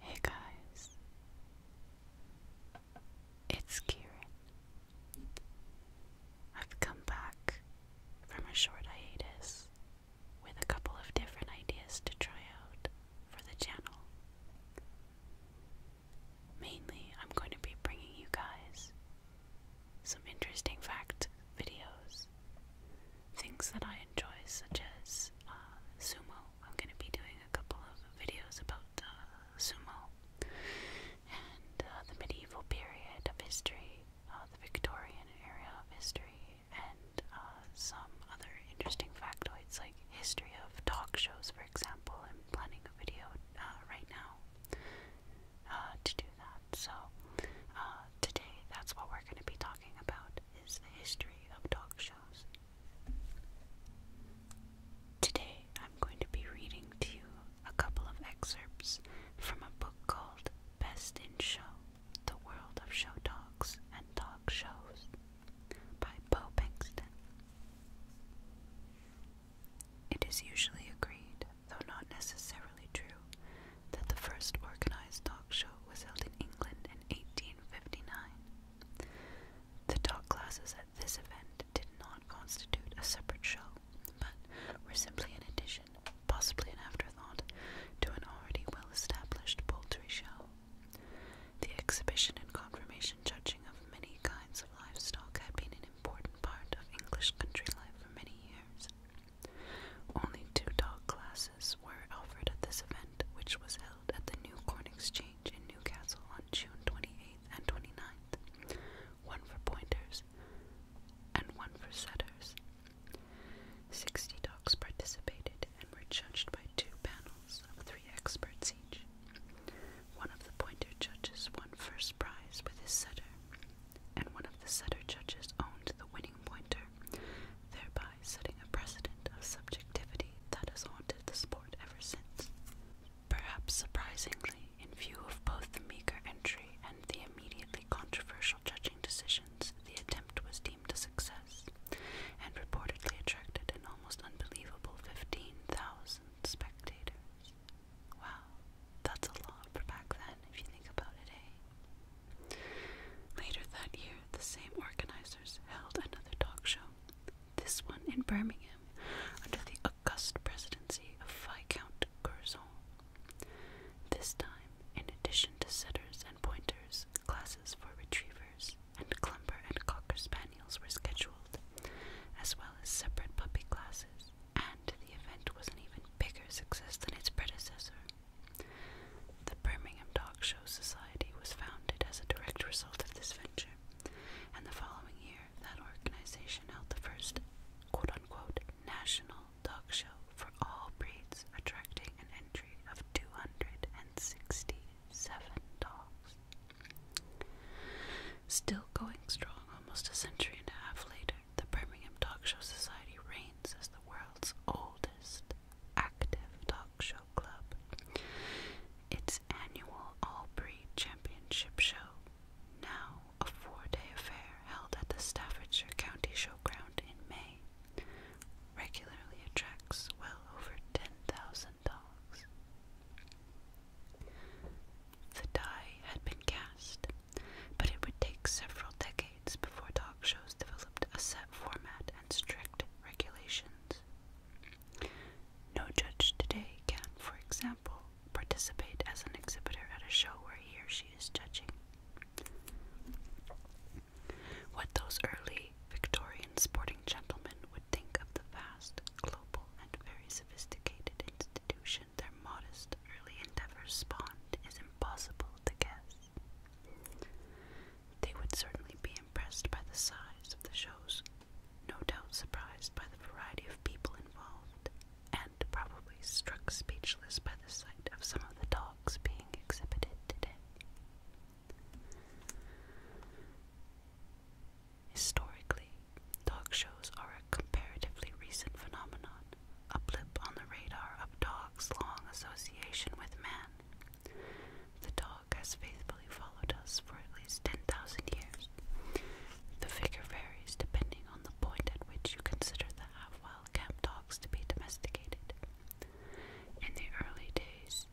Hey guys, it's Kieran. I've come back from a short hiatus with a couple of different ideas to try out for the channel. Mainly, I'm going to be bringing you guys some interesting fact videos. Things that I enjoy, such as uh, sumo. I'm going to be doing a couple of videos about uh, sumo and uh, the medieval period of history, the Victorian era of history, and some other interesting factoids like history of talk shows, for example. I'm planning a video right now uh, to do that. So uh, today, that's what we're going to be talking about is the history of dog shows. Today, I'm going to be reading to you a couple of excerpts from a book called Best in Show, The World of Show Dogs and Dog Shows by Bo Bankston. It is usually agreed though not necessarily true, that the first organized dog show was held in England in 1859. The dog classes at this event did not constitute a separate show, but were simply an addition, possibly an afterthought, to an already well established poultry show. The exhibition and confirmation judging of many kinds of livestock had been in important part of English country life for many years. Only two dog classes were offered at this event, which was held at the New Corn Exchange in Newcastle on June 28th and 29th, one for pointers and one for setters. Sixty dogs participated and were judged by two panels of three experts each. One of the pointer judges won first prize with his setter, and one of the setter judges owned the winning pointer, thereby setting a precedent of subjectivity that has haunted the sport ever since. Perhaps surprisingly, in view of both the meager entry and the immediately controversial judging decisions, the attempt was deemed a success and reportedly attracted an almost unbelievable 15,000 spectators. Wow, that's a lot for back then if you think about it, eh? Later that year, the same organizers held another talk show, this one in Birmingham, under the august presidency of Viscount Curzon. This time, in addition to setters and pointers, classes for retrievers and clumper and cocker spaniels were scheduled, as well as separate puppy classes and the event was an even bigger success than its predecessor. The Birmingham Dog Show Society was founded as a direct result of this venture, and the following year, that organization held the first quote unquote national dog show for all breeds, attracting an entry of 267 dogs. Still going strong almost a century and a half later, the Birmingham Talk Show Society reigns as the world's oldest active talk show club. Its annual All Breed Championship Show, now a four day affair held at the Staffordshire County Showground in May, regularly attracts well over 10,000 dogs. The die had been cast, but it would take several decades before talk shows developed a set format and strict regulations. No judge today can, for example, participate as an exhibitor at a show where he or she is judging. What those early Victorian sporting gentlemen would think of the vast, global, and very sophisticated institution their modest early endeavors spawned is impossible to guess. They would certainly be impressed by the size of the shows, no doubt surprised by the variety of people involved, and probably struck speechless by the sight of some of the dogs being exhibited today. Historically, Dog shows are a comparatively recent phenomenon, a blip on the radar of dog's long association with man. The dog has faithfully followed us for at least 10,000 years. The figure varies depending on the point at which you consider the half wild camp dogs to be domesticated. In the early days,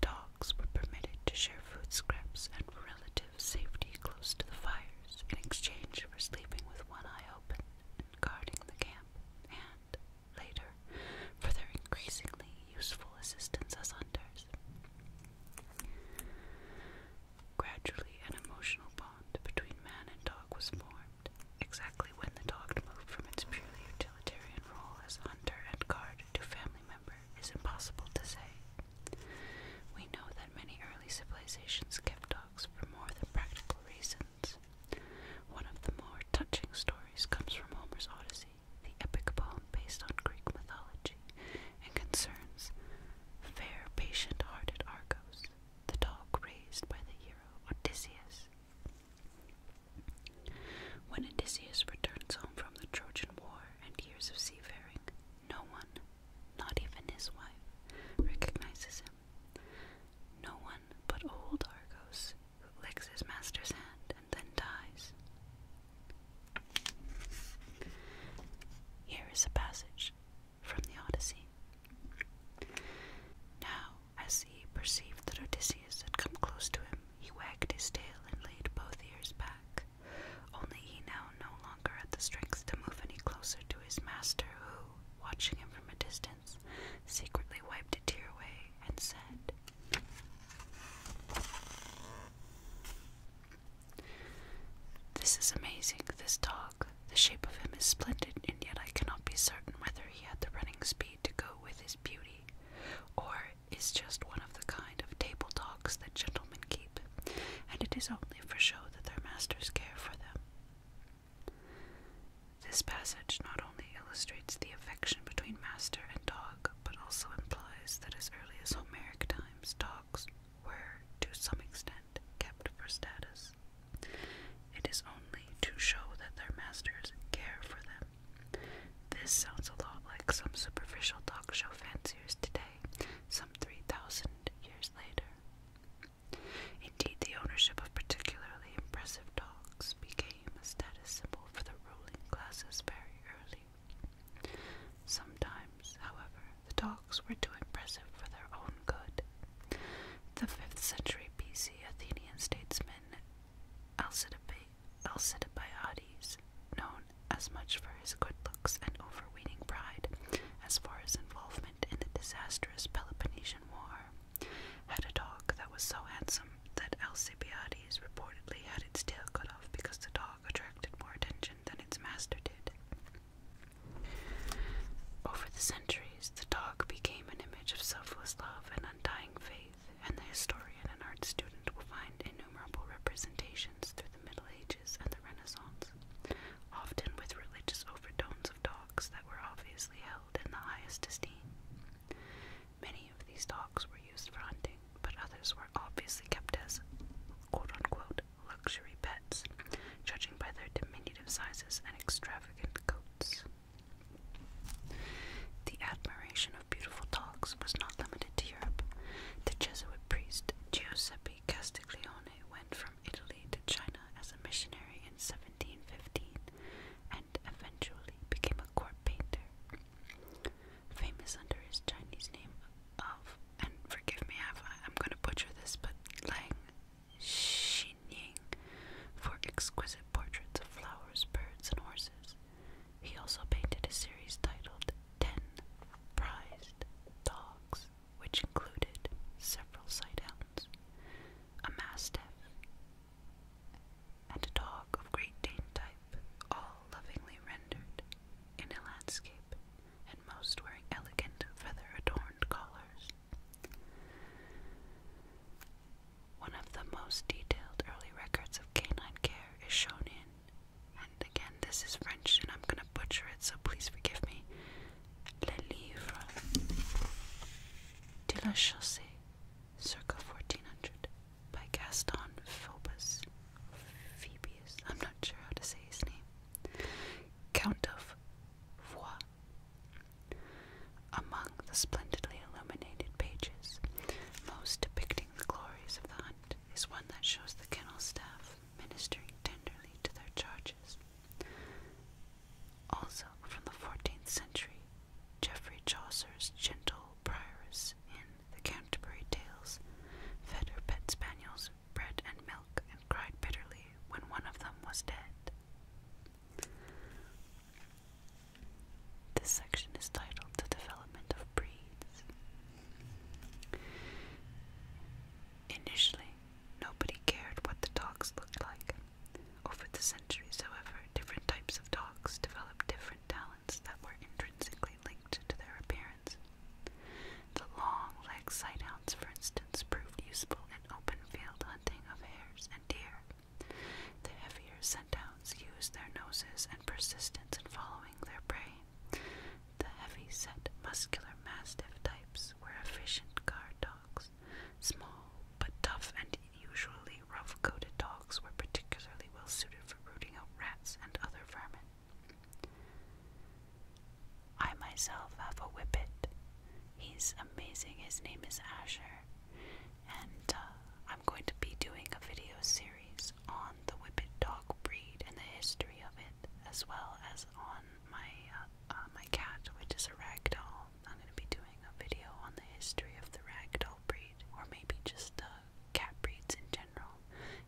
dogs were permitted to share food scraps and relative safety close to the fire in exchange for sleeping with one eye open and guarding the camp, and, later, for their increasingly useful assistance as hunters. Gradually, an emotional bond between man and dog was formed, exactly when the dog moved from its purely utilitarian role as hunter and guard to family member is impossible to say. We know that many early civilizations kept dogs for more than practical reasons. One of the more touching stories comes from Homer's Odyssey, the epic poem based on Greek mythology, and concerns fair, patient hearted Argos, the dog raised by the hero Odysseus. When Odysseus returns home from the Trojan War and years of seafaring, no one, not even his wife, recognizes him. No one but old Argos, who licks his master's hand and then dies. Here is a passage from the Odyssey. Now, as he perceived that Odysseus had come close to him, he wagged his tail and laid both ears back, only he now no longer had the strength to move any closer to his master, who, watching him from a distance, secretly wiped a tear away and said, This is amazing, this dog. The shape of him is splendid, and yet I cannot be certain whether he had the running speed to go with his beauty, or is just one of the kind of table dogs that gentlemen keep and it is only for show that their masters care for them. This passage not only illustrates the affection between master and dog, but also implies that as early as Homeric times, dogs were, to some extent, kept for status. It is only to show that their masters care for them. This sounds a lot like some superficial dog show fanciers today, some 3,000 years later. Indeed, the ownership of particularly impressive dogs became a status symbol for the ruling classes very early. Sometimes, however, the dogs were too impressive for their own good. The 5th century BC Athenian statesman Alcibiades, known as much for his good looks and overweening pride as for his involvement in the disastrous Peloponnesian War, had a dog that was so handsome that Alcibiades reportedly had its tail cut off because the dog attracted more attention than its master did. Over the centuries, the dog became an image of selfless love and undying faith, and the historian and art student will find innumerable representations through the Middle Ages and the Renaissance, often with religious overtones of dogs that were obviously held in the highest esteem. Many of these dogs were used for hunting, but others were obviously kept as quote unquote luxury pets, judging by their diminutive sizes and extravagant coats. The admiration of beautiful dogs was not limited to Europe. The Jesuit priest Giuseppe Castiglione went from Italy to China as a missionary in 1715 and eventually became a court painter. Famous under his Chinese name of, and forgive me I'm going to butcher this, but Lang Xinying for exquisite portraits of flowers, birds, and horses. He also painted a series titled Ten Prized Dogs which included several sight hounds, a mastiff, and a dog of Great Dane type, all lovingly rendered in a landscape, and most wearing elegant feather adorned collars. One of the most detailed early records of canine care is shown in, and again, this is French and I'm gonna butcher it, so please forgive me, Le Livre de la Chasse, circa 1400, by Gaston Phobos. Phoebus, I'm not sure how to say his name. Count of Vois. Among the splendidly illuminated pages, most depicting the glories of the hunt, is one that shows the kennel staff ministering tenderly to their charges. Also from the 14th century, Geoffrey Chaucer's gentle prioress in the Canterbury Tales fed her pet spaniels bread and milk and cried bitterly when one of them was dead. This section is titled The Development of Breeds. Initially, Nobody cared what the dogs looked like. Over the centuries, however, different types of dogs developed different talents that were intrinsically linked to their appearance. The long leg sighthounds, for instance, proved useful in open field hunting of hares and deer. The heavier scent hounds used their noses and persistence in following their prey. The heavy set, muscular mastiff types were efficient guard dogs dogs. Small but tough and usually rough coated dogs were particularly well suited for rooting out rats and other vermin. I myself have a whippet. He's amazing. His name is Asher. And uh, I'm going to be doing a video series on the whippet dog breed and the history of it as well as on my uh, uh, my cat, which is a ragdoll. I'm going to be doing a video on the history of the ragdoll breed, or maybe just the cat breeds in general,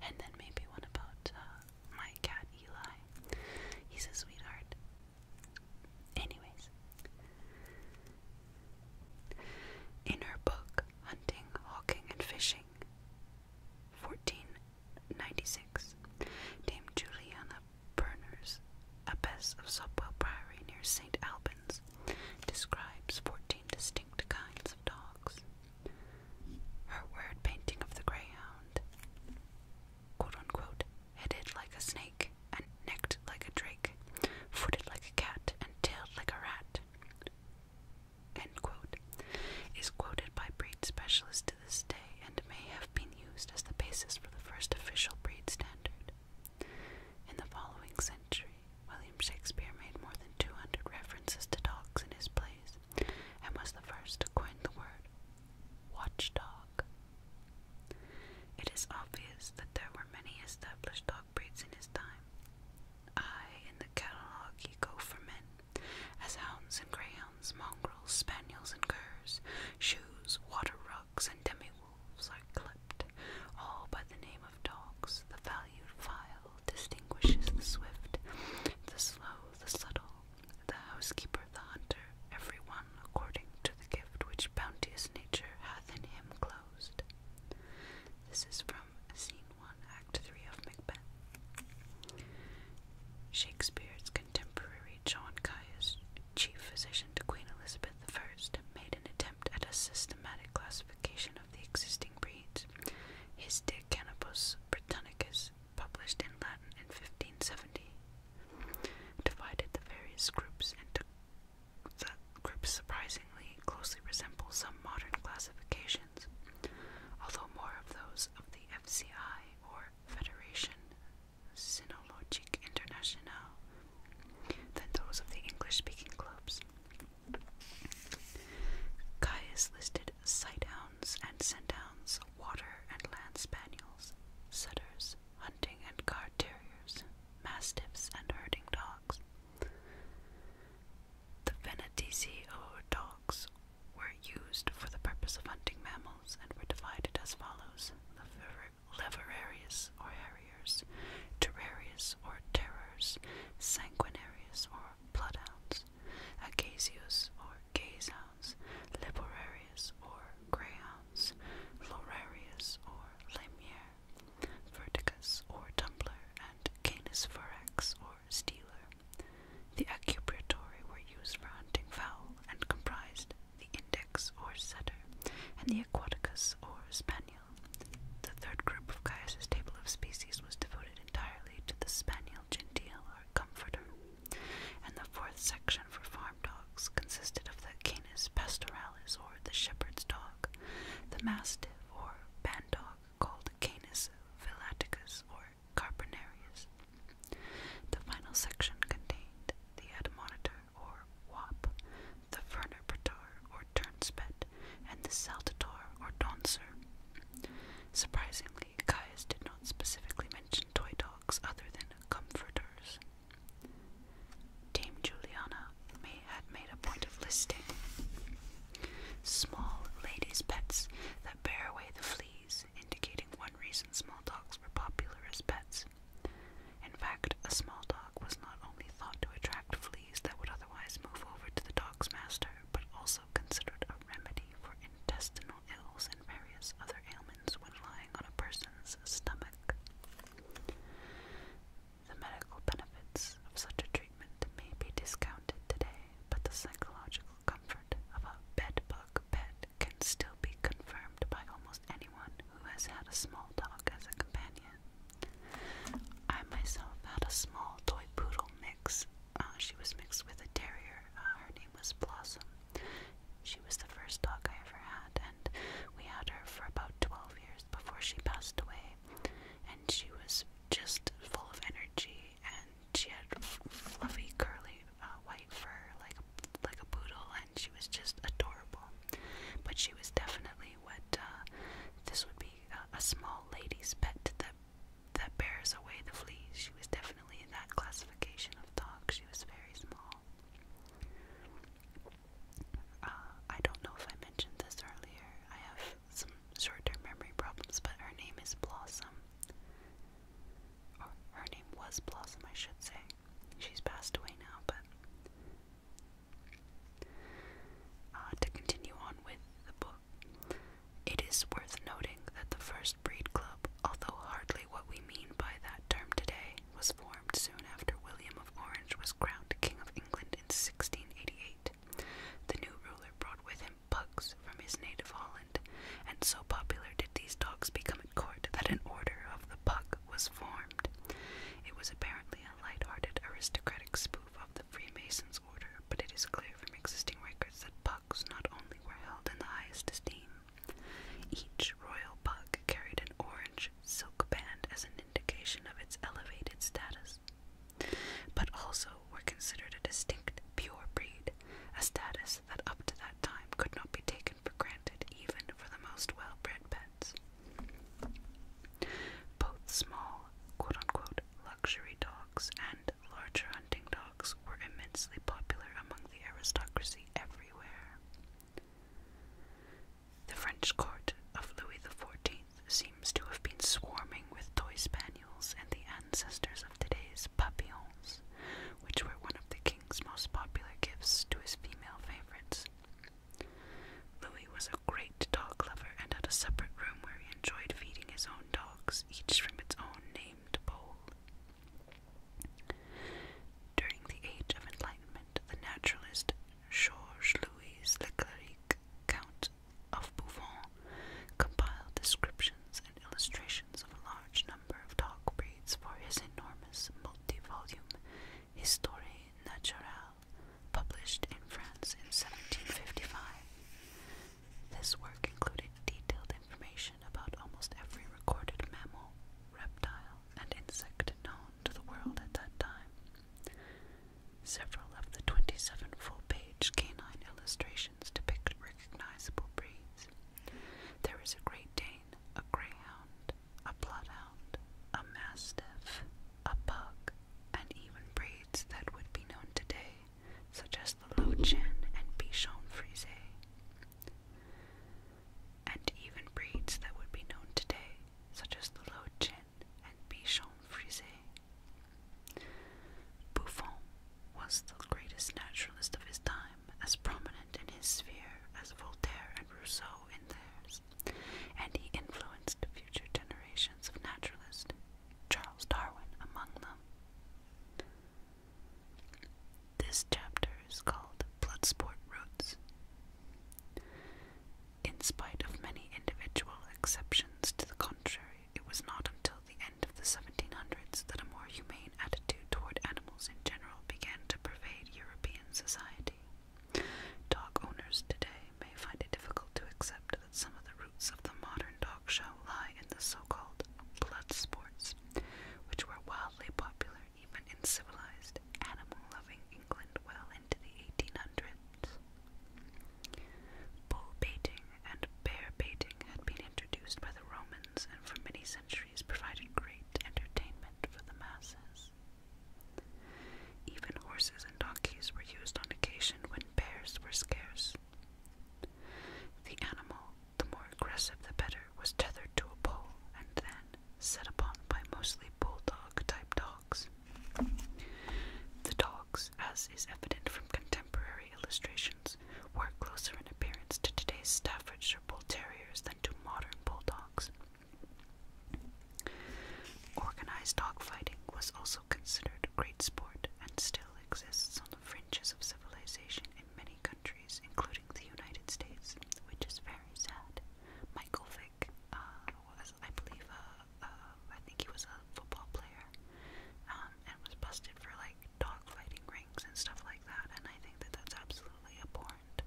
and then maybe one about uh, my cat Eli. He's a sweetheart. Anyways, in her book, Hunting, Hawking, and Fishing, 14 1996, Dame Juliana Berners, abbess of Sopwell Priory near St. Albans, describes 14 distinct kinds of dogs. Her word painting of the greyhound, quote unquote, headed like a snake, and necked like a drake, footed like a cat, and tailed like a rat, end quote, is quoted by breed specialist this day and may have been used as the basis for the first official breed standard. In the following century, William Shakespeare made more than 200 references to dogs in his plays and was the first to coin the word watchdog. It is obvious that there were many established dog breeds in his time. I, in the catalogue go for men, as hounds and greyhounds mongrels, spaniels, and curs, shoes, water rugs, and demi wolves are clipped, all by the name of dogs. The valued file distinguishes the swift, the slow, the subtle, the housekeeper, the hunter, every one according to the gift which bounteous nature hath in him closed. This is from Scene 1, Act 3 of Macbeth. Shakespeare's contemporary John Caius, chief physician to Queen Elizabeth I, made an attempt at a systematic classification of the existing breeds. His De Canibus Britannicus, published in Latin in 1570, divided the various groups into groups surprisingly closely resemble some modern classifications, although more of those of the FCI or Federation Sinologic International than those of the English-speaking clubs. Caius listed sighthounds and scenthounds, water and land spaniels, setters, hunting and guard terriers, mastiffs and herding dogs. The Venetici dogs were used for the purpose of hunting mammals and were divided as follows the leverarius or harriers, terrarius or terrors, sanguinarius or bloodhounds, agasius or gazehounds, liborarius or greyhounds, lorarius or lamier, verticus or tumbler, and canis forex or stealer. The acupriatori were used for hunting fowl and comprised the index or setter, and the aquaticus or spaniel. The third group of Caius's table of species was devoted entirely to the spaniel gentile or comforter, and the fourth section for farm dogs consisted of the canis pastoralis or the shepherd's dog, the mastiff or bandog called canis villaticus or carpinarius, the final section contained the admonitor or wop, the vernipator or turnspit, and the saltator or doncer. Surprisingly, Caius did not specifically mention toy dogs other than comforters. Dame Juliana may had made a point of listing small ladies' pets that bear away the fleas studies indicating one reason small dogs were popular as pets. In fact, a small dog was not only thought to attract fleas that would otherwise move over to the dog's master, but also considered a remedy for intestinal ills and various other ailments when lying on a person's stomach. The medical benefits of such a treatment may be discounted today, but the psychological comfort of a bed bug dog can still be confirmed by almost anyone who has had a small dog as a companion. I myself had a small toy poodle mix. Uh, she was mixed with a terrier. Uh, her name was Blossom. She was the first dog I ever had, and we had her for about 12 years before she passed away. And she was just full of energy, and she had fluffy, curly uh, white fur, like a, like a poodle, and she was just adorable. But she was definitely what uh, this would be a, a small lady's pet that that bears away the fleas. She was definitely in that classification of dog. She was very small. Uh, I don't know if I mentioned this earlier. I have some short-term memory problems, but her name is Blossom. Or her name was Blossom, I should say. She's passed away now, but uh, to continue on with the book, it is worth noting that the first breed club, although hardly what we mean by that term today, was formed soon after William of Orange was crowned King of England in 1688. The new ruler brought with him pugs from his native Holland, and so popular did these dogs become Court that an order of the Puck was formed. It was apparently a light-hearted aristocratic spoof of the Freemasons' order, but it is clear from existing records that Pucks not only were held in the highest esteem, each royal Puck carried an orange silk band as an indication of its elevated status, but also were considered a distinct pure breed, a status that up to that time could not be taken for granted even for the most well bred pets. Both small, quote unquote, luxury dogs and larger hunting dogs were immensely popular among the aristocracy everywhere. The French court of Louis XIV seems to have been swarming with toy spaniels and the ancestors of today's papillons, which were one of the king's king's most popular gifts to his female favorites. Louis was a great dog lover and had a separate room where he enjoyed feeding his own dogs, each from its own named bowl. During the Age of Enlightenment, the naturalist Georges Louis Le Cleric, Count of Bouffon, compiled descriptions and illustrations of a large number of dog breeds for his enormous multi-volume Histoire naturelle, published in France in 1755. This work included detailed information about almost every recorded mammal, reptile, and insect known to the world at that time. Several of the 27 full-page canine illustrations depict recognizable breeds, there is a Great Dane, a Greyhound, a Bloodhound, a Mastiff, a Pug, and even breeds that would be known today, such as the Lochin and Bichon Frise. And even breeds that would be known today, such as the Lochin and Bichon Frise. Buffon was the greatest naturalist of his time as prominent in his sphere as Voltaire and Rousseau in theirs, and he influenced future generations of naturalists, Charles Darwin among them. This chapter is called Bloodsport Roots. In spite of many individual exceptions to the contrary, it was not until the end of the 1700s that a more humane attitude toward animals in general began to pervade European society. Dog owners today may find it difficult to accept that some of the roots of the modern dog show lie in the so called blood sports, which were wildly popular even in civilized, animal loving England well into the 1800s. Bull baiting and bear baiting had been introduced by the Romans and for many centuries centuries provided great entertainment for the masses. Even horses and donkeys were used on occasion when bears were scarce. The animal, the more aggressive the better, was tethered to a pole and then set upon by mostly bulldog type dogs. The dogs, as is evident from contemporary illustrations, were closer in appearance to today's Staffordshire Bull Terriers than to modern bulldogs, Organized dogfighting was also considered a great sport and still exists on the fringes of civilization in many countries, including the United States, which is very sad. Michael Vick uh, was, I believe, uh, uh, I think he was a football player um, and was busted for like dogfighting rings and stuff like that, and I think that that's absolutely abhorrent.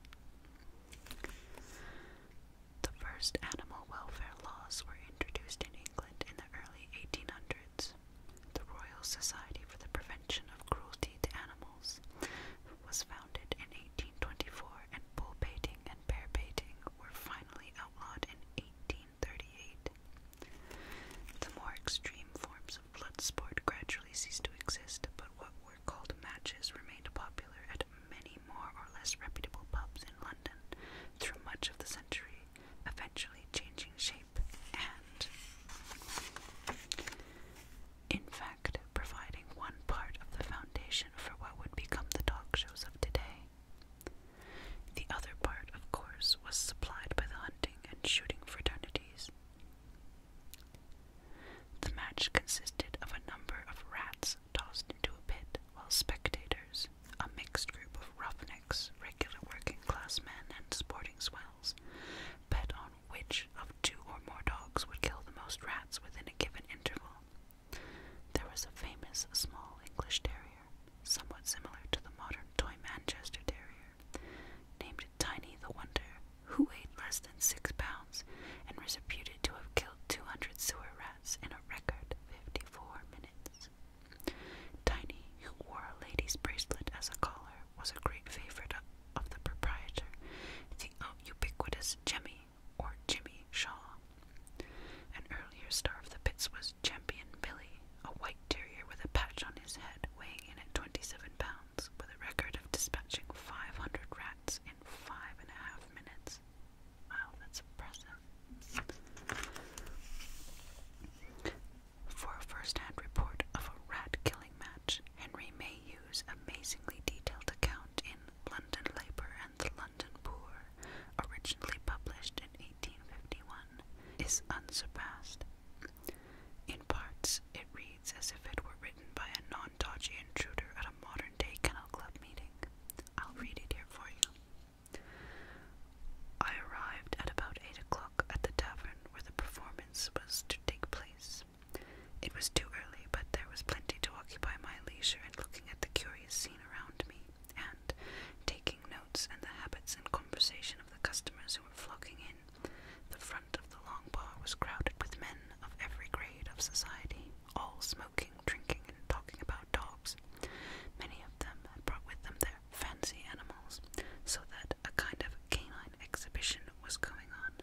The first animal welfare laws were introduced in England in the early 1800s. The Royal Society for the Prevention of Cruelty to Animals was founded in 1824, and bull baiting and bear baiting were finally outlawed in 1838. The more extreme forms of blood sport gradually ceased to exist, but what called matches remained popular at many more or less reputable pubs in London through much of the century, eventually changing shape and, in fact, providing one part of the foundation for what would become the talk shows of today. The other part, of course, was supplied by the hunting and shooting fraternities, the match consisted of a number of rats tossed into a pit, while spectators, a mixed group of roughnecks, regular working class men, and sporting swells, bet on which of two or more dogs would kill the most rats within a given interval. There was a famous small English terrier, somewhat similar to the modern toy Manchester terrier, named Tiny the Wonder, who weighed less than six pounds and was reputed to have killed 200 sewer rats in a record 54 minutes. Tiny, who wore a lady's bracelet as a collar, was a great favorite of the proprietor, the ubiquitous Jemmy or Jimmy Shaw. An earlier star of the pits was Champion Billy, a white terrier with a patch on his head, weighing in at 27 pounds, with a record of dispatching 500 rats five and a half minutes. Wow, that's impressive. For a first report of a rat killing match, Henry may amazingly detailed account in London Labour and the London Poor, originally published in 1851, is unsurpassed. In parts, it reads as if it were written by a non dodgy intruder at a modern day kennel club meeting. I'll read it here for you. I arrived at about eight o'clock at the tavern where the performance was to take place. It was too early, but there was plenty to occupy my leisure in looking at the curious scene around me and taking notes and the habits and conversation of the customers who were flocking in. The front front of the longbar was crowded with men of every grade of society, all smoking, drinking, and talking about dogs. Many of them had brought with them their fancy animals, so that a kind of canine exhibition was going on.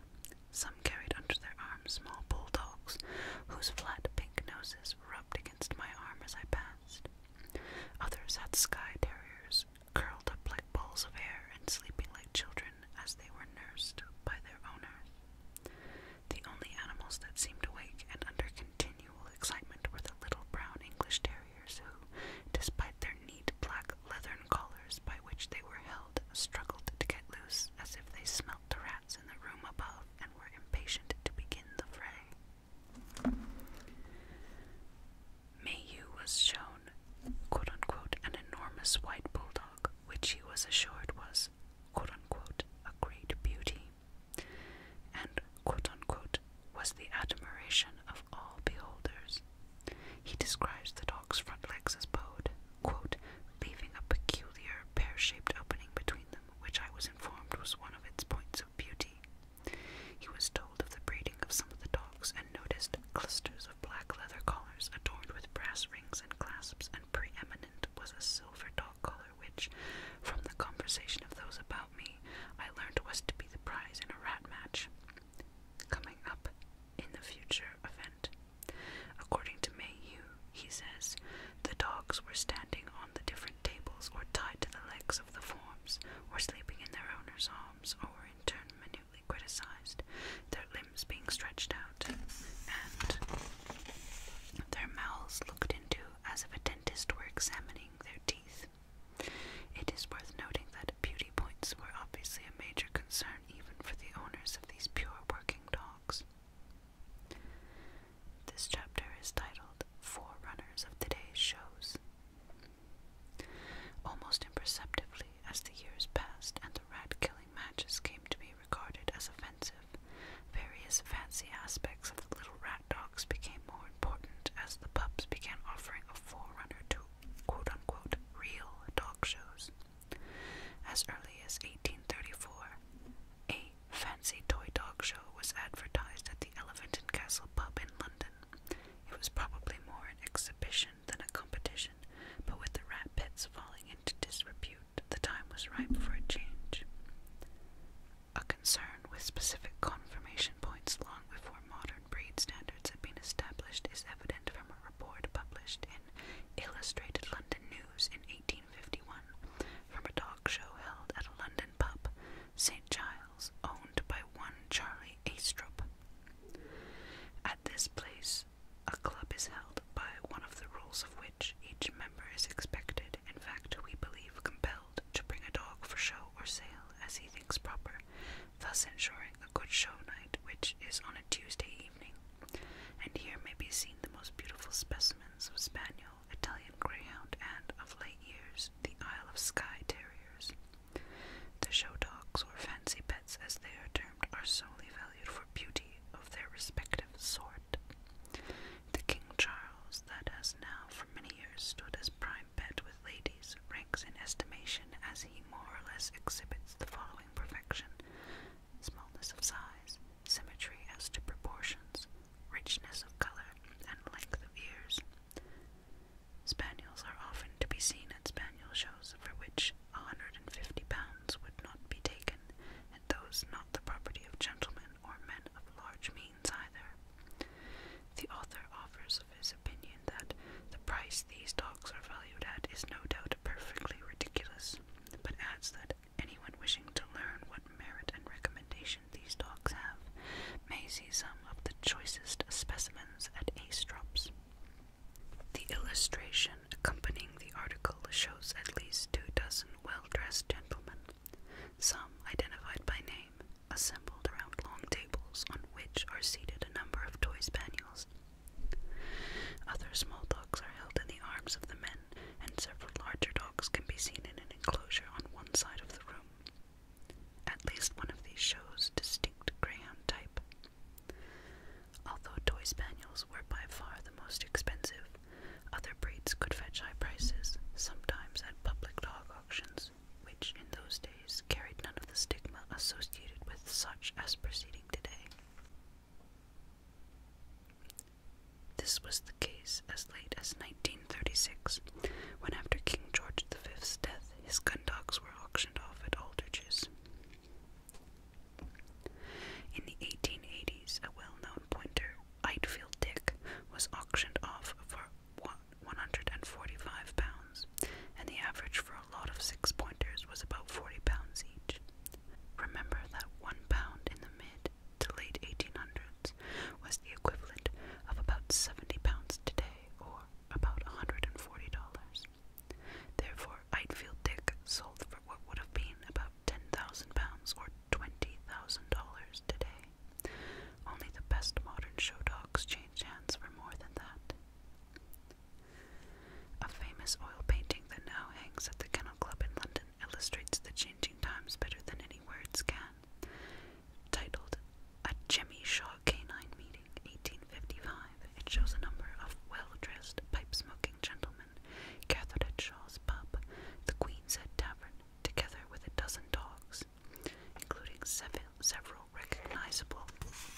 Some carried under their arms small bulldogs, whose flat pink noses rubbed against my arm as I passed. Others had sky terriers, curled up like balls of air and sleeping like children, as they were nursed by their owners, The only animals that seemed awake and under continual excitement were the little brown English terriers who, despite their neat black leathern collars by which they were held, struggled to get loose as if they smelt the rats in the room above and were impatient to begin the fray. Mayhew was shown, quote unquote, an enormous white bulldog which he was assured was a great beauty, and was the admiration of all beholders. He describes the dog's front legs as bowed, leaving a peculiar pear shaped opening between them, which I was informed was one of its points of beauty. He was told of the breeding of some of the dogs and noticed clusters of black leather collars adorned with brass rings and clasps preeminent was a silver dog collar, which, from the conversation of those about me, I learned was to be the prize in a rat match coming up in the future event. According to Mayhew, he says, the dogs were standing on the different tables or tied to the legs of the forms, or sleeping in their owners' arms, or in turn minutely criticized, their limbs being stretched out, and their mouths looked into as if a dentist were examining their teeth. It is worth noting that beauty points were obviously a major concern even for the owners of these pure working dogs. This chapter is titled Forerunners of Today's Shows. Almost imperceptibly, as the years passed and the rat killing matches came to be regarded as offensive, various fancy aspects of the little rat dogs became more important as the pups began offering a forerunner to quote unquote real dog shows. As early as 1834, a fancy toy dog show was advertised at the Elephant and Castle pub in London. It was probably more an exhibition than a competition but with the rat pits falling into disrepute, the time was ripe for a change. A concern with specific confirmation points long before modern breed standards had been established is evident from a report published in Illustrated London News in 1851 from a dog show held at a London pub, St. Giles, owned by one Charlie Astrup. At this place, a club is held by one of the rules of which each member is expected, in fact, we believe compelled, to bring a dog for show or sale as he thinks proper, thus ensuring a good show night, which is on a Tuesday evening. And here may be seen the most beautiful specimens of spaniel, Italian greyhound, and, of late years, the Isle of Skye terriers. The show dogs, or fancy pets as they are termed, are solely valued for beauty of their respective sort. The King Charles that has now for many years stood as prime bed with ladies ranks in estimation as he more or less exhibits the following perfection smallness of size, symmetry as to proportions, richness of color, and length of ears. Spaniels are often to be seen at spaniel shows, for which 150 pounds would not be taken, and those not the property of gentlemen or men of large means either. The author offers of his opinion that the price these dogs are valued at is no doubt perfectly ridiculous, but adds that anyone wishing to learn what merit and recommendation these dogs have may see some of the choicest specimens at Aestrops. The illustration accompanying the article shows at least two dozen well dressed gentlemen, some identified by name, assembled around long tables on which are seated a number of toy spaniels. Other small dogs are held in the arms of the men, and several larger dogs can be seen in an enclosure on one side of the room. At least one of these shows distinct greyhound type. Although toy spaniels were by far the most expensive, other breeds could fetch high prices, sometimes at public dog auctions, which in those days carried none of the stigma associated with such as proceeding today. This was the case as late as 1936, when after King George V's death, his gun dogs were auctioned off at Aldrich's. In the 1880s, a well known pointer, Eitfield Dick, was auctioned off for £145, and the average for a lot of six pointers was about £40 each. Remember that one pound in the mid to late 1800s was the equivalent of about £70 today, or about $140. Therefore, Eitfield Dick sold for what would have been about £10,000 or $20,000 today. Only the best modern show dogs change hands for more than that. A famous oil painting that now hangs at the Kennel Club in London illustrates the changing times better than any words can. Titled A Jemmy Shaw Canine Meeting, 1855, it shows a number of well dressed, pipe smoking gentlemen gathered at Shaw's pub, the Queen's Head Tavern, together with a dozen dogs, including several recognizable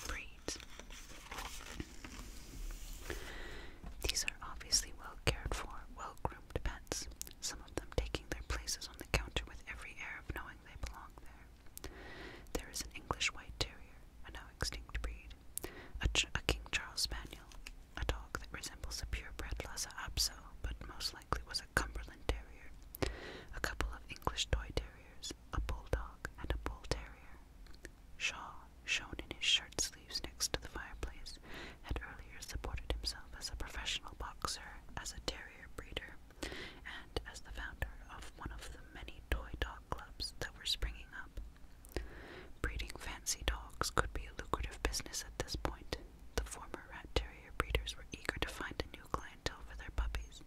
breeds. These are obviously well cared for, well groomed pets, some of them taking their places on the counter with every air of knowing they belong there. There is an English White Terrier, a now extinct breed, a King Charles Spaniel, a dog that resembles a purebred Lhasa Apso, but most likely was a Cumberland Terrier, a couple of English toy terriers, a bulldog, and a bull terrier. Shaw, shown in his shirt sleeves next to the fireplace, had earlier supported himself as a professional boxer, as a terrier breeder, and as the founder of one of the many toy dog clubs that were springing up Breeding fancy dogs could be a lucrative business at this point. The former rat terrier breeders were eager to find a new clientele for their puppies,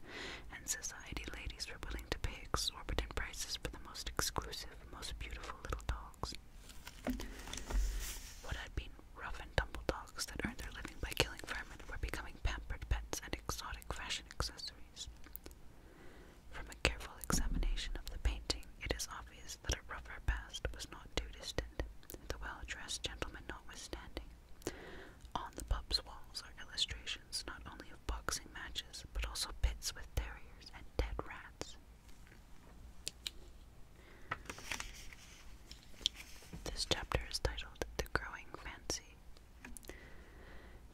and society ladies were willing to pay exorbitant prices for the most exclusive, most beautiful little dogs. What had been rough and tumble dogs that earned their living by killing vermin were becoming pampered pets and exotic fashion accessories. From a careful examination of the painting, it is obvious that a rougher past was not too distant, the well dressed gentleman notwithstanding. On the pub's walls are illustrations not only of boxing matches, but also pits with terriers and dead rats. This chapter is titled The Growing Fancy.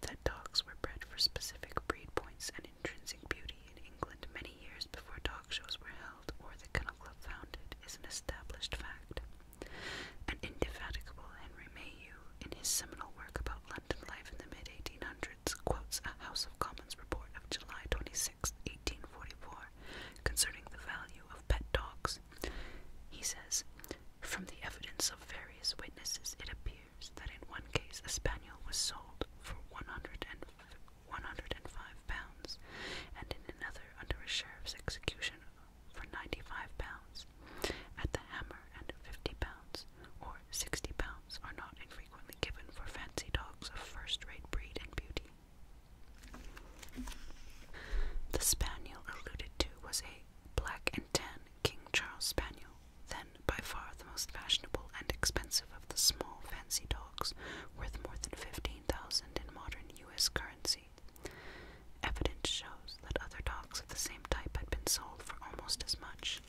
That dogs were bred for specific breed points and intrinsic beauty in England many years before talk shows were held or the Kennel Club founded is an established fact. An indefatigable Henry Mayhew, in his seminal work about London life in the mid 1800s, quotes a House of Commons report of July 26, 1844, concerning the value of pet dogs. He says, From the evidence of various witnesses, it appears that in one case a spaniel was sold for 100 105 pounds, and in another under a sheriff's execution for 95 pounds. At the hammer and 50 pounds or 60 pounds are not infrequently given for fancy dogs of first-rate breed and beauty. The spaniel alluded to was a black and tan King Charles Spaniel, then, by far the most fashionable and expensive of the small fancy dogs, worth more than fifteen thousand in modern U.S. currency. Evidence shows that other dogs of the same type had been sold for almost as much.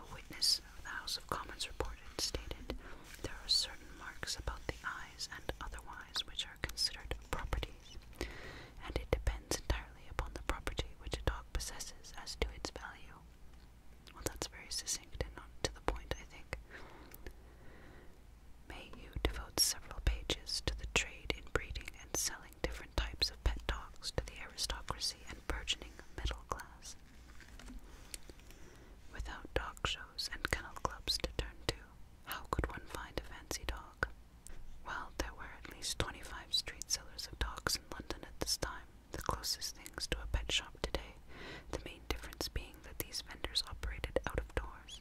A witness of the House of Commons reported stated, "There are certain marks about the eyes and otherwise which are considered properties, and it depends entirely upon the property which a dog possesses as to its value." Well, that's very succinct and not to the point, I think. May you devote several pages to the trade in breeding and selling different types of pet dogs to the aristocracy and burgeoning middle class. Without dog shows and kennel clubs to turn to, how could one find a fancy dog? Well, there were at least 25 street sellers of dogs in London at this time, the closest things to a pet shop today, the main difference being that these vendors operated out of doors.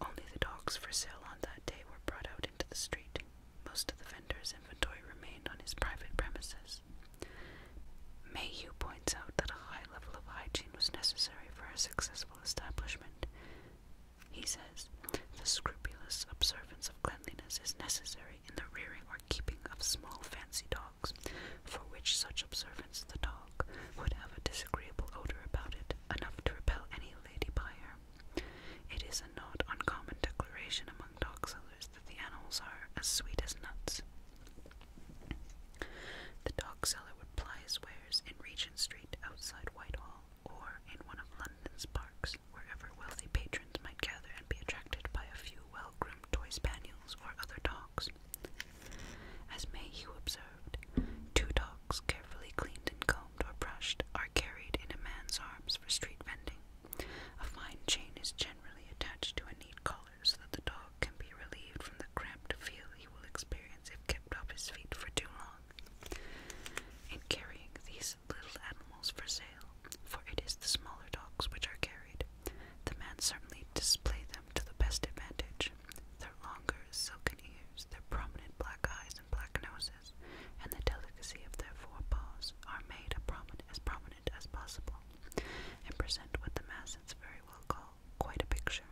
Only the dogs for sale on that day were brought out into the street. Most of the vendor's inventory remained on his private premises. Mayhew points out that a high level of hygiene was necessary for a successful establishment. He says, the scrupulous observance of cleanliness is necessary in the rearing or keeping of small fancy dogs dogs, for which such observance the dog would have a disagreeable odor about it, enough to repel any lady buyer. It is a not uncommon declaration among dog sellers that the animals are as sweet as nuts. The dog seller would ply his wares in Regent Street outside Whitehall or in one of London's parks, wherever wealthy patrons might gather and be attracted by a few well groomed toy spaniels spaniels or other dogs. As Mayhew observed, two dogs carefully cleaned and combed or brushed are carried in a man's arms for street vending. A fine chain is generally attached to a neat collar so that the dog can be relieved from the cramped feel he will experience if kept off his feet for too long. In carrying these little animals for sale, for it is the smaller dogs which are carried. The men certainly display them to the best advantage. Their longer, silken ears, their prominent black eyes and black noses, and the delicacy of their paws are made prominent, as prominent as possible, and present what the masses very well call quite a picture.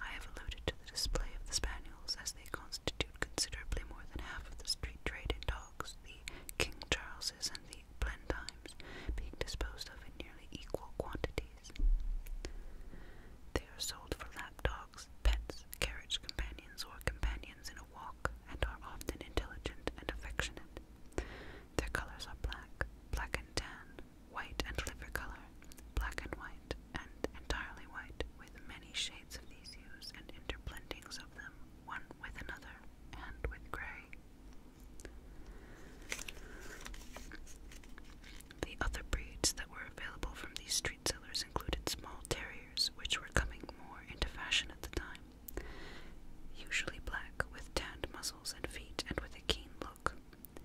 I have alluded to the display of the spaniels as they constitute considerably more than half of the street trade in dogs. The King Charleses and the plantimes being disposed of in nearly equal quantities. They are sold for lapdogs, pets, carriage companions, or companions in a walk, and are often intelligent and affectionate. Their colors are black, black and tan, white and liver color, black and white, and entirely white, with many shades of these hues and interblendings of them, one with another, and with gray. The other breeds that were available from these street sellers included small terriers, which were coming more into fashion at the time, usually black with tanned muzzles and feet and with a keen look,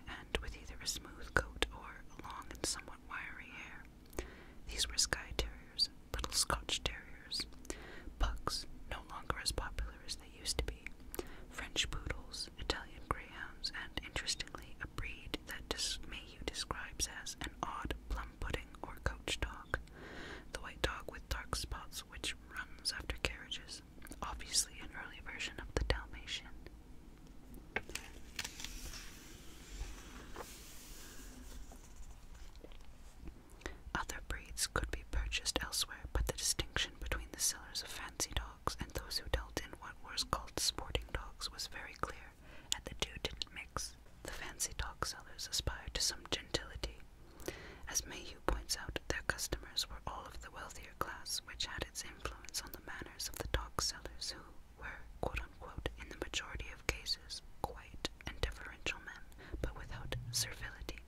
and with either a smooth coat or long and somewhat wiry hair. These were Skye Terriers, little Scotch Terriers, years. no longer as popular as they used to be. French poodles, Italian greyhounds, and interestingly, a breed that Dis Mayhew describes as an odd plum pudding or coach dog. The white dog with dark spots which runs after carriages. Obviously, an early version of the Dalmatian. Other breeds could be purchased elsewhere, but the distinction between the sellers of fancy dogs and those who dealt in what was called sporting dogs was very clear, and the two didn't mix. The fancy dog sellers aspired to some gentility. As Mayhew points out, their customers were all of the wealthier class, which had its influence on the manners of the dog sellers, who were, quote unquote, in the majority of cases, quite and deferential men, but without servility.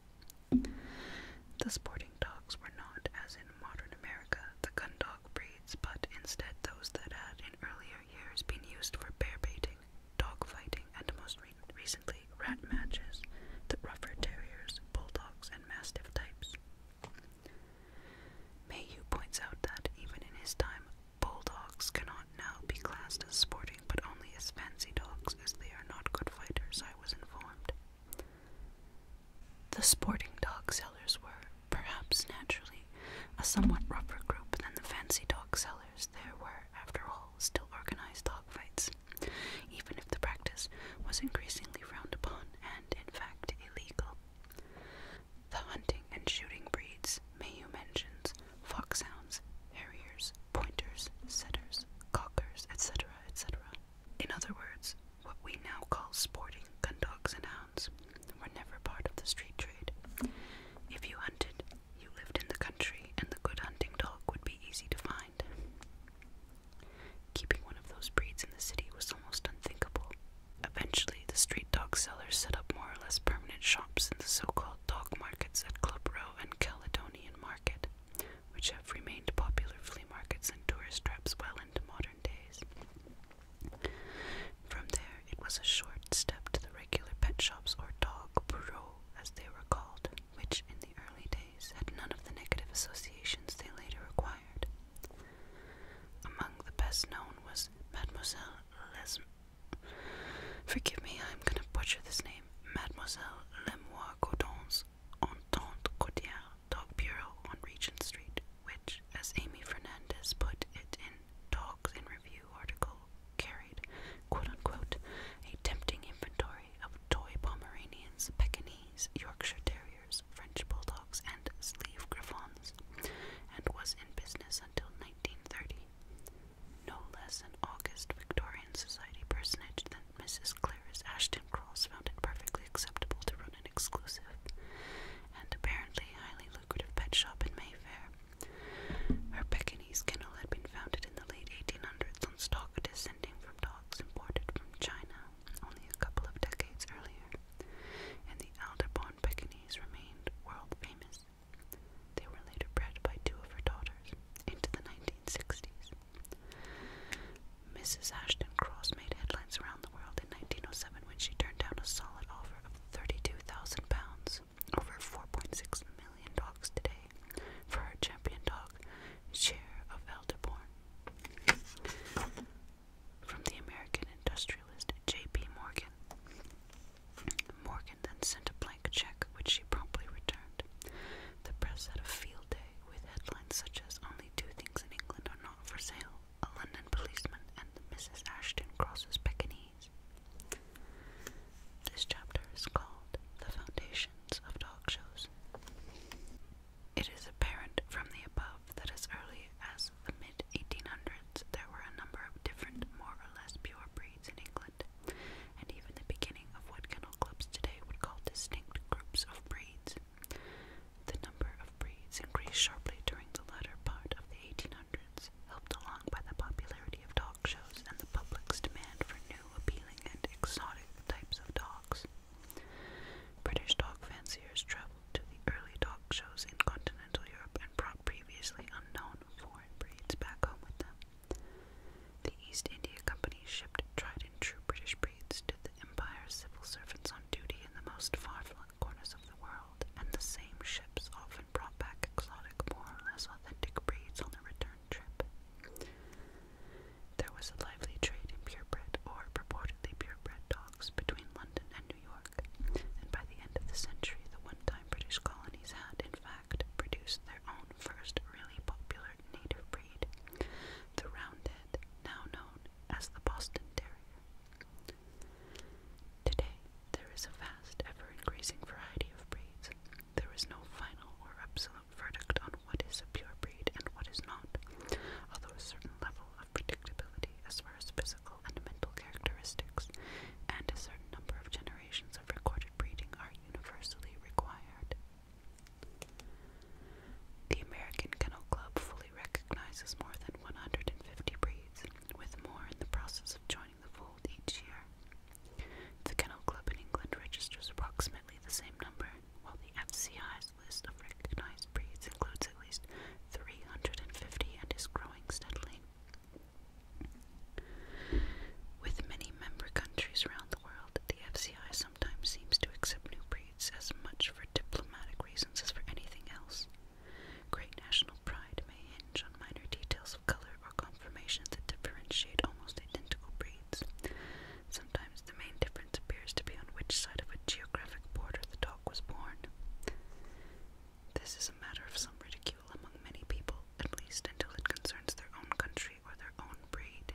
The sporting dogs were not, as in modern America, the gun dog breeds, but instead those that had in earlier years been used for bear baiting, dog fighting, and most recently rat matches, the rougher terriers, bulldogs, and mastiff types. Mayhew points out that, even in his time, bulldogs cannot now be classed as sporting but only as fancy dogs as they are not good fighters was informed. The sporting dog sellers were, perhaps naturally, a somewhat rougher group than the fancy dog sellers. There were, after all, still organized dog fights, even if the practice was increasingly frowned upon and, in fact, illegal. The hunting and shooting breeds, Mayu mentions, foxhounds, harriers, pointers, setters, cockers, etc., etc. In other words, what we now call sporting gun dogs and hounds were never part of the street trade. If you hunted, you lived in the country, and the good hunting dog would be easy to find. Keeping one of those breeds in the city was almost unthinkable. Eventually, the street dog sellers set up more or less permanent shops in the so called dog markets at Club Row and Caledonian Market, which have remained popular flea markets and tourist traps well into modern days. From there, it was a short step to the regular pet shops or dog bureaux, as they were called, which in the early days had none of the negative associations they later acquired. Among the best known was Mademoiselle Les. Forgive me, I'm going to butcher this name. Mademoiselle Lemoir Cordon's Entente Cordiale Dog Bureau on Regent Street, which, as Amy Fernandez put it in Dogs in Review article, carried, quote unquote, a tempting inventory of toy Pomeranians, Pekinese, Yorkshire Terriers, French Bulldogs, and Sleeve Griffons, and was in business until 1930. No less an August Victorian Society personage than Mrs. Clarice Ashton Cross found it perfectly acceptable to run an exclusive and apparently highly lucrative pet shop in Mayfair. Her Pekingese kennel had been founded in the late 1800s on stock descending from dogs imported from China only a couple of decades earlier, and the Alderborn Pekingese remained world famous. They were later bred by two of her daughters into the 90s. Mrs. Ashton Cross made headlines around the world in 1907 when she turned down a solid offer of £32,000, over $4.6 million dogs today, for her champion dog, Share of Elderborn. From the American industrialist J.P. Morgan. Morgan then sent a blank check, which she promptly returned. The press had a field with headlines such as Only Two Things in England Are Not For Sale, A London Policeman, and Mrs. Ashton Crosses Pekingese. This chapter is called The Foundations of Dog Shows. It is apparent from the above that as early as the mid 1800s there were a number of different, more or less pure breeds in England, and even the beginning of what kennel clubs today would call distinct groups of breeds. The number of breeds increased sharply during the latter part of the 1800s, helped along by the popularity of dog shows and the public's demand for new, appealing, and exotic types of dogs. British dog fanciers traveled to the early dog shows in continental Europe and brought previously unknown foreign breeds back home with them. The East India Company shipped tried and true British breeds to the Empire's civil servants on duty in the most far-flung corners of the world, and the same ships often brought back exotic, more or less authentic breeds on the return trip. There was a lively trade in purebred or purportedly purebred dogs between London and New York, and by the end of the century, the one-time British colonies had, in fact, produced their own first really popular Pollard native breed, the roundhead, now known as the Boston Terrier. Today, there is a vast, ever increasing variety of breeds. There is no final or absolute verdict on what is a pure breed and what is not, although a certain level of predictability as far as physical and mental characteristics and a certain number of generations of recorded breeding are universally required. The American Kennel Club fully recognizes more than 150 breeds, with more in the process of joining the fold each year. The Kennel Club in England registers approximately the same number, while the FCI's list of recognized breeds includes at least 350 and is growing steadily. With many member countries around the world, that the FCI sometimes seems to accept new breeds as much for diplomatic reasons as for anything else. Great national pride may hinge on minor details of color or conformation that differentiate almost identical breeds. Sometimes the main difference appears to be on which side of a geographic border the dog was born. This is a matter of some ridicule among many people, at least until it concerns their own country or their own breed.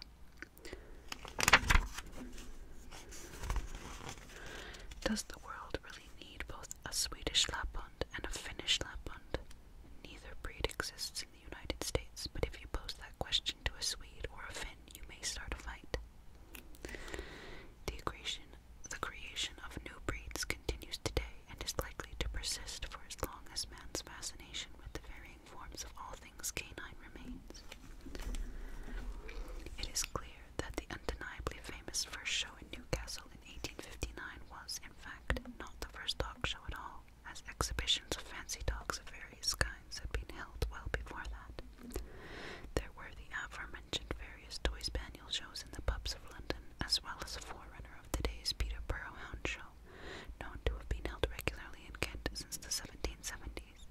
Does the world really need both a Swedish Lapland and a Finnish Lapland? Neither breed exists in the United States, but if you pose that question to a Swede or a Finn, you may start a fight. The creation, the creation of new breeds continues today and is likely to persist for as long as man's fascination with the very forms of all things canine remains. It is clear that the undeniably famous first show in Newcastle in 1859 was, in fact, not the first dog show at all, as exhibitions of fancy dogs of various kinds had been held well before that. There were the aforementioned various toy spaniel shows in the pubs of London, as well as a forerunner of today's Peterborough Hound Show, known to have been held regularly in Kent since the 1770s.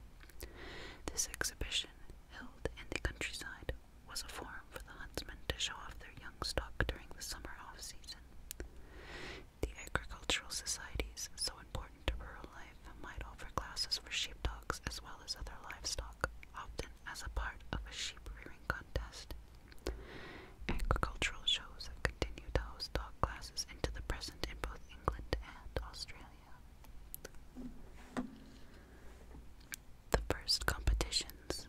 This exhibition, held in the countryside, was a forum for the huntsmen to show off their young stock during the summer off-season. The agricultural societies, so important to rural life, might offer classes for sheepdogs as well as other livestock, often as a part of a sheep-rearing contest. Agricultural shows have continued to host dog classes into the present in both England and Australia. The first competitions.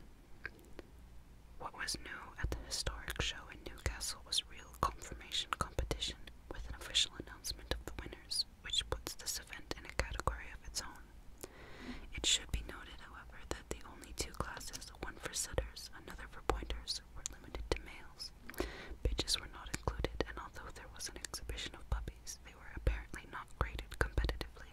What was new at the historic show in Newcastle was real confirmation competition with an official announcement of the winners, which puts this event in a category of its own. It should be noted, however, that the only two classes, one for setters, another for pointers, were limited to males animals. Bitches were not included, and although there was an exhibition of puppies, they were apparently not graded competitively.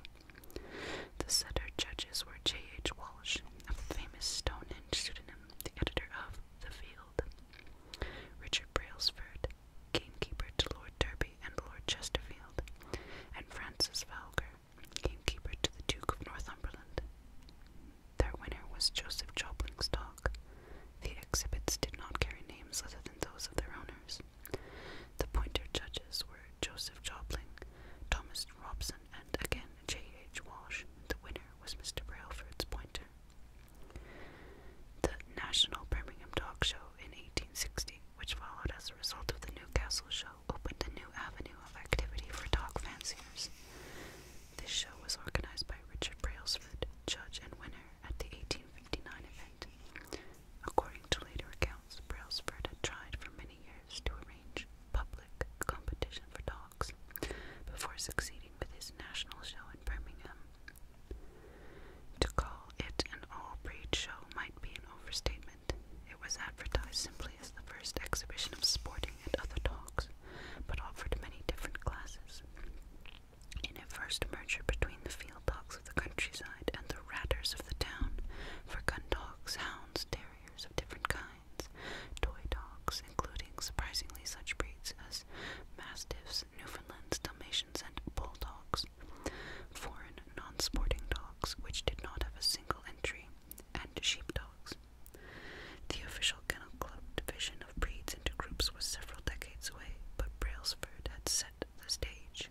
The setter judges were J. H. Walsh, a famous Stonehenge pseudonym, the editor of The Field, Richard Brailsford, gamekeeper to Lord Derby and Lord Chesterfield, and Francis Valger, gamekeeper to the Duke of Northumberland. Their winner was Joseph Joplin dog. The exhibits did not carry names other than those of their owners. The pointer judges were Joseph Joplin, Thomas Robson, and again J. H. Walsh. The winner was Mr. Brailsford's pointer. The National Birmingham Dog Show in 1860, which followed as a result of the Newcastle Show, opened a new avenue of activity for dog fanciers. This show was organized by Richard Brailsford, judge and winner at the 1859 event. According to later accounts, Brailsford had tried for many years to arrange public competition for dogs before succeeding with his national show in Birmingham. To call it an all-breed show might be an overstatement. It was advertised simply as the first exhibition of sporting and other dogs, but offered many different classes. In a first merger between the field dogs of the countryside and the ratters of the town, for gun dogs, hounds, terriers of different kinds, toy dogs, including surprisingly such breeds as mastiffs, Newfoundlands, Dalmatians, and bulldogs, foreign non-sporting dogs which did not have a single entry, and sheep dogs. The official Kennel Club division of breeds into groups was several decades away, but Brailsford had set the stage.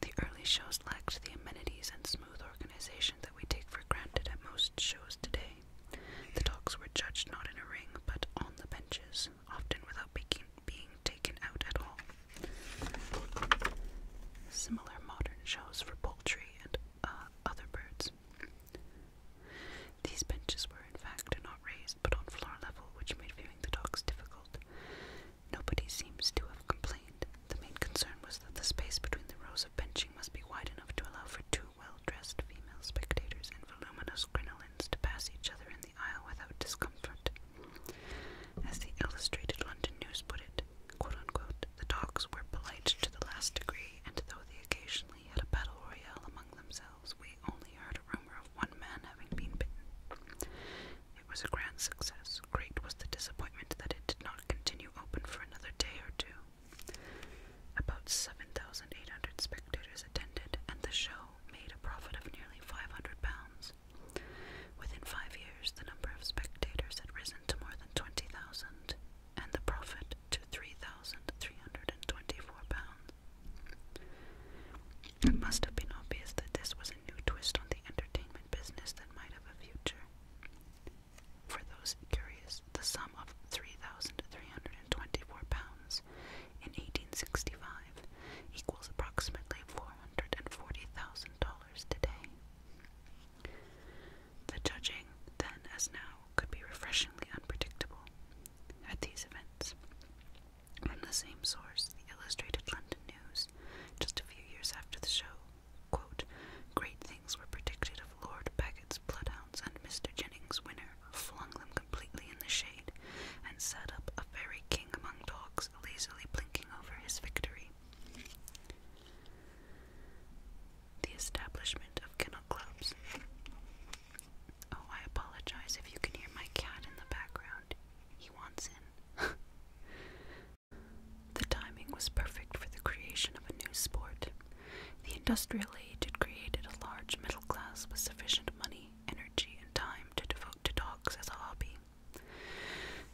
The early shows lacked the amenities and smooth organization that we take for granted at most shows today. The dogs were judged not in a ring, but on the benches, often without being, being taken out at all. Similar modern shows for poultry and uh, other birds these benches were, in fact, not raised but on floor level, which made viewing the dogs difficult. Nobody seems to have complained. The main concern was that the space between the rows of benching must be wide enough to allow for two well dressed female spectators in voluminous crinolines to pass each other in the aisle without discomfort. As the Illustrated London News put it, the dogs were polite to the last degree, and though the occasion had a battle royale among themselves, we only heard a rumor of one man having been bitten. It was a grand success. Great was the disappointment that it did not continue open for another day or two. About 7,800 spectators attended, and the show made a profit of nearly 500 pounds. Within five years, the number of spectators had risen to more than 20,000, and the profit to three thousand three hundred and twenty four pounds. It must have been obvious that this was a new twist on the entertainment business that might have a future. For those curious, the sum of three thousand three hundred and twenty four pounds in eighteen sixty five equals approximately four hundred and forty thousand dollars today. The judging, then as now, could be refreshingly unpredictable at these events. From the same source, the Illustrated London News, just a few years after the show, quote, Great things were predicted of Lord Baggett's bloodhounds, and Mr. Jennings' winner flung them completely in the shade and set up a very king among dogs, lazily blinking over his victory the establishment of kennel clubs. Oh, I apologize if you can hear my cat in the background. He wants in. the timing was perfect for the creation of a new sport. The industrial age had created a large middle class with sufficient money, energy, and time to devote to dogs as a hobby.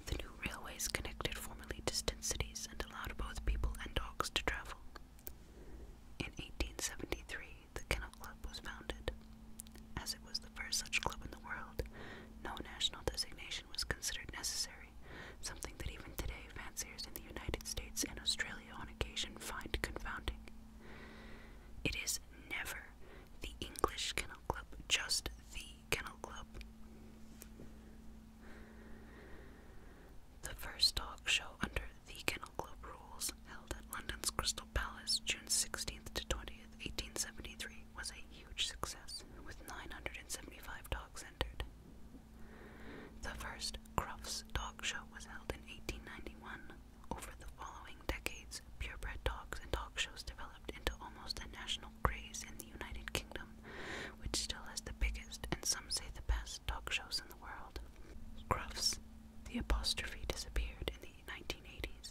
The new railways connected formerly distant cities and allowed both people and dogs to travel. In 1873, the Kennel Club was founded. As it was the first such club in the world, no national designation was considered necessary, something that even today fanciers in the United States and Australia on occasion find confounding. It is never the English Kennel Club, just the Kennel Club. The first dog show under the Kennel Club rules, held at London's Crystal Palace June 16th to 20th, 1873, was a huge success, with 975 dogs entered. The first Crufts Dog Show was held in 1891. Over the following decades, purebred dogs and dog shows developed into almost a national craze in the United Kingdom, which still has the biggest and some say the best best talk shows in the world. Crufts, the apostrophe disappeared in the 1980s,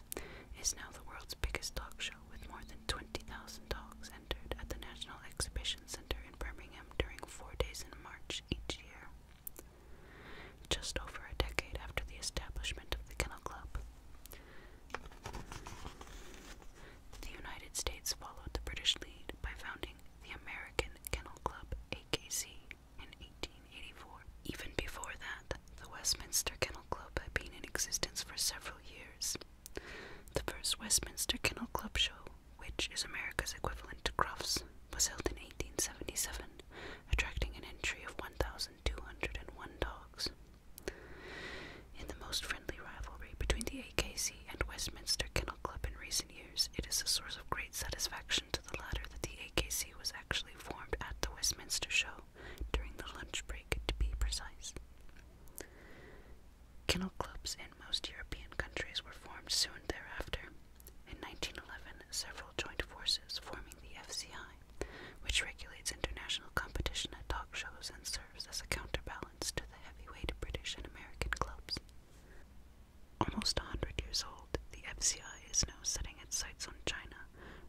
is now the world's biggest dog show with more than 20,000 dogs entered at the National Exhibition Center in Birmingham during four days in March each year. Just over a decade after the establishment of the Kennel Club, the United States followed the British lead by founding the American Kennel Club, AKC, in 1884. Even before that, the Westminster Kennel Club had been in existence for several years. The first Westminster Kennel Club show, which is America's equivalent to Crufts, was held in 1877, attracting an entry of 1,201 dogs. In the most friendly rivalry between the AKC and Westminster Kennel Club in recent years, it is a source of great satisfaction to the latter that the AKC was actually formed at the Westminster Show during the lunch break, to be precise. Kennel clubs in most European countries were formed soon thereafter. In 1911, several joint forces forming the FCI, which regulates international competition at dog shows and serves as a counterbalance to the heavyweight British and American clubs almost 100 years old, the FCI is now setting its sights on China,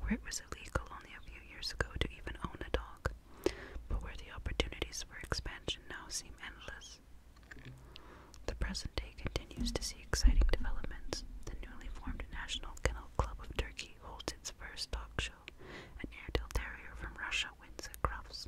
where it was illegal only a few years ago to even own a dog, but where the opportunities for expansion now seem endless. The present day continues to see exciting developments. The newly formed National Kennel Club of Turkey holds its first dog show. An Airedale Terrier from Russia wins at cross,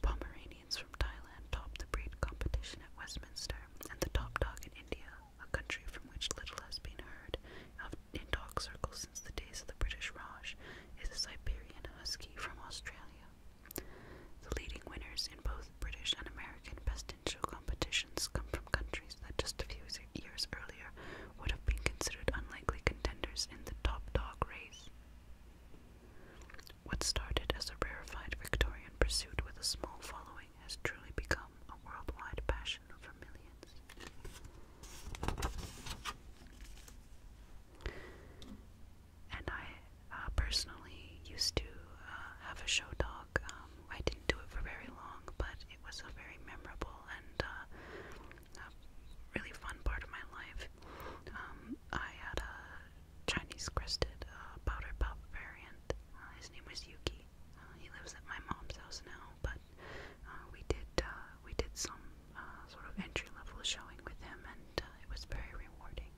Pomeranians from Thailand topped the breed competition at Westminster, and the top dog in India, a country from which little has been heard of in dog circles since the days of the British Raj, is a Siberian husky from Australia. The leading winners in both British and American pestintial competitions come from countries that just a few years earlier would have been considered unlikely contenders in the top dog race. What started as a rarefied Victorian pursuit with a small following has truly become a worldwide passion for millions. And I uh, personally used to uh, have a show dog. Um, I didn't do it for very long, but it was a very memorable and uh, really fun part of my life. Um, I had a Chinese crested uh, powder puff variant. Uh, his name was Yuki. Uh, he lives at my mom's house now, but uh, we did we did some sort of entry level showing with him, and it was very rewarding.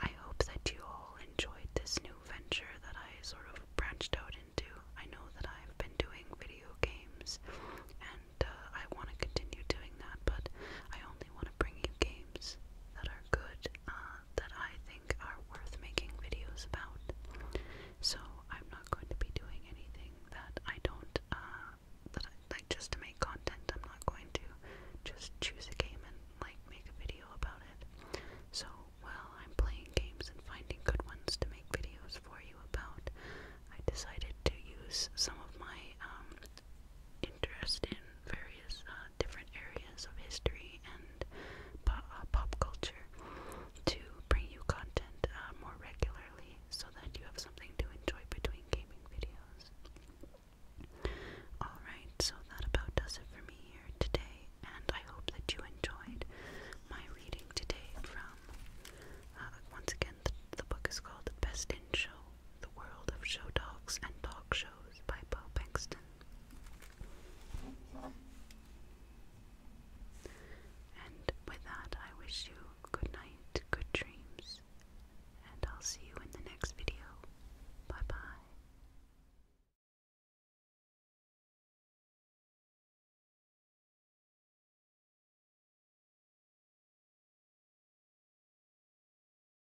I hope that you all enjoyed this new venture that I sort of branched out into. I know that I've been doing video games, and I want to continue doing that, but I only want to bring you games that are good uh, that I think are worth making videos about. So I'm not going to be doing anything that I don't uh, that like just to make content. I'm not going to just choose a game and like make a video about it. So while I'm playing games and finding good ones to make videos for you about, I decided to use some of my um, interest in various uh, different areas of history and uh, pop, culture to bring you content uh, more regularly so that you have something to enjoy between gaming videos. Alright, so that about does it for me here today, and I hope that you enjoyed my reading today from, uh, once again, the book is called Best in Show the World of Show Dogs and Dog Shows by Bo Bankston. And with that, I wish you good night, good dreams, and I'll see you in the next video. Bye bye.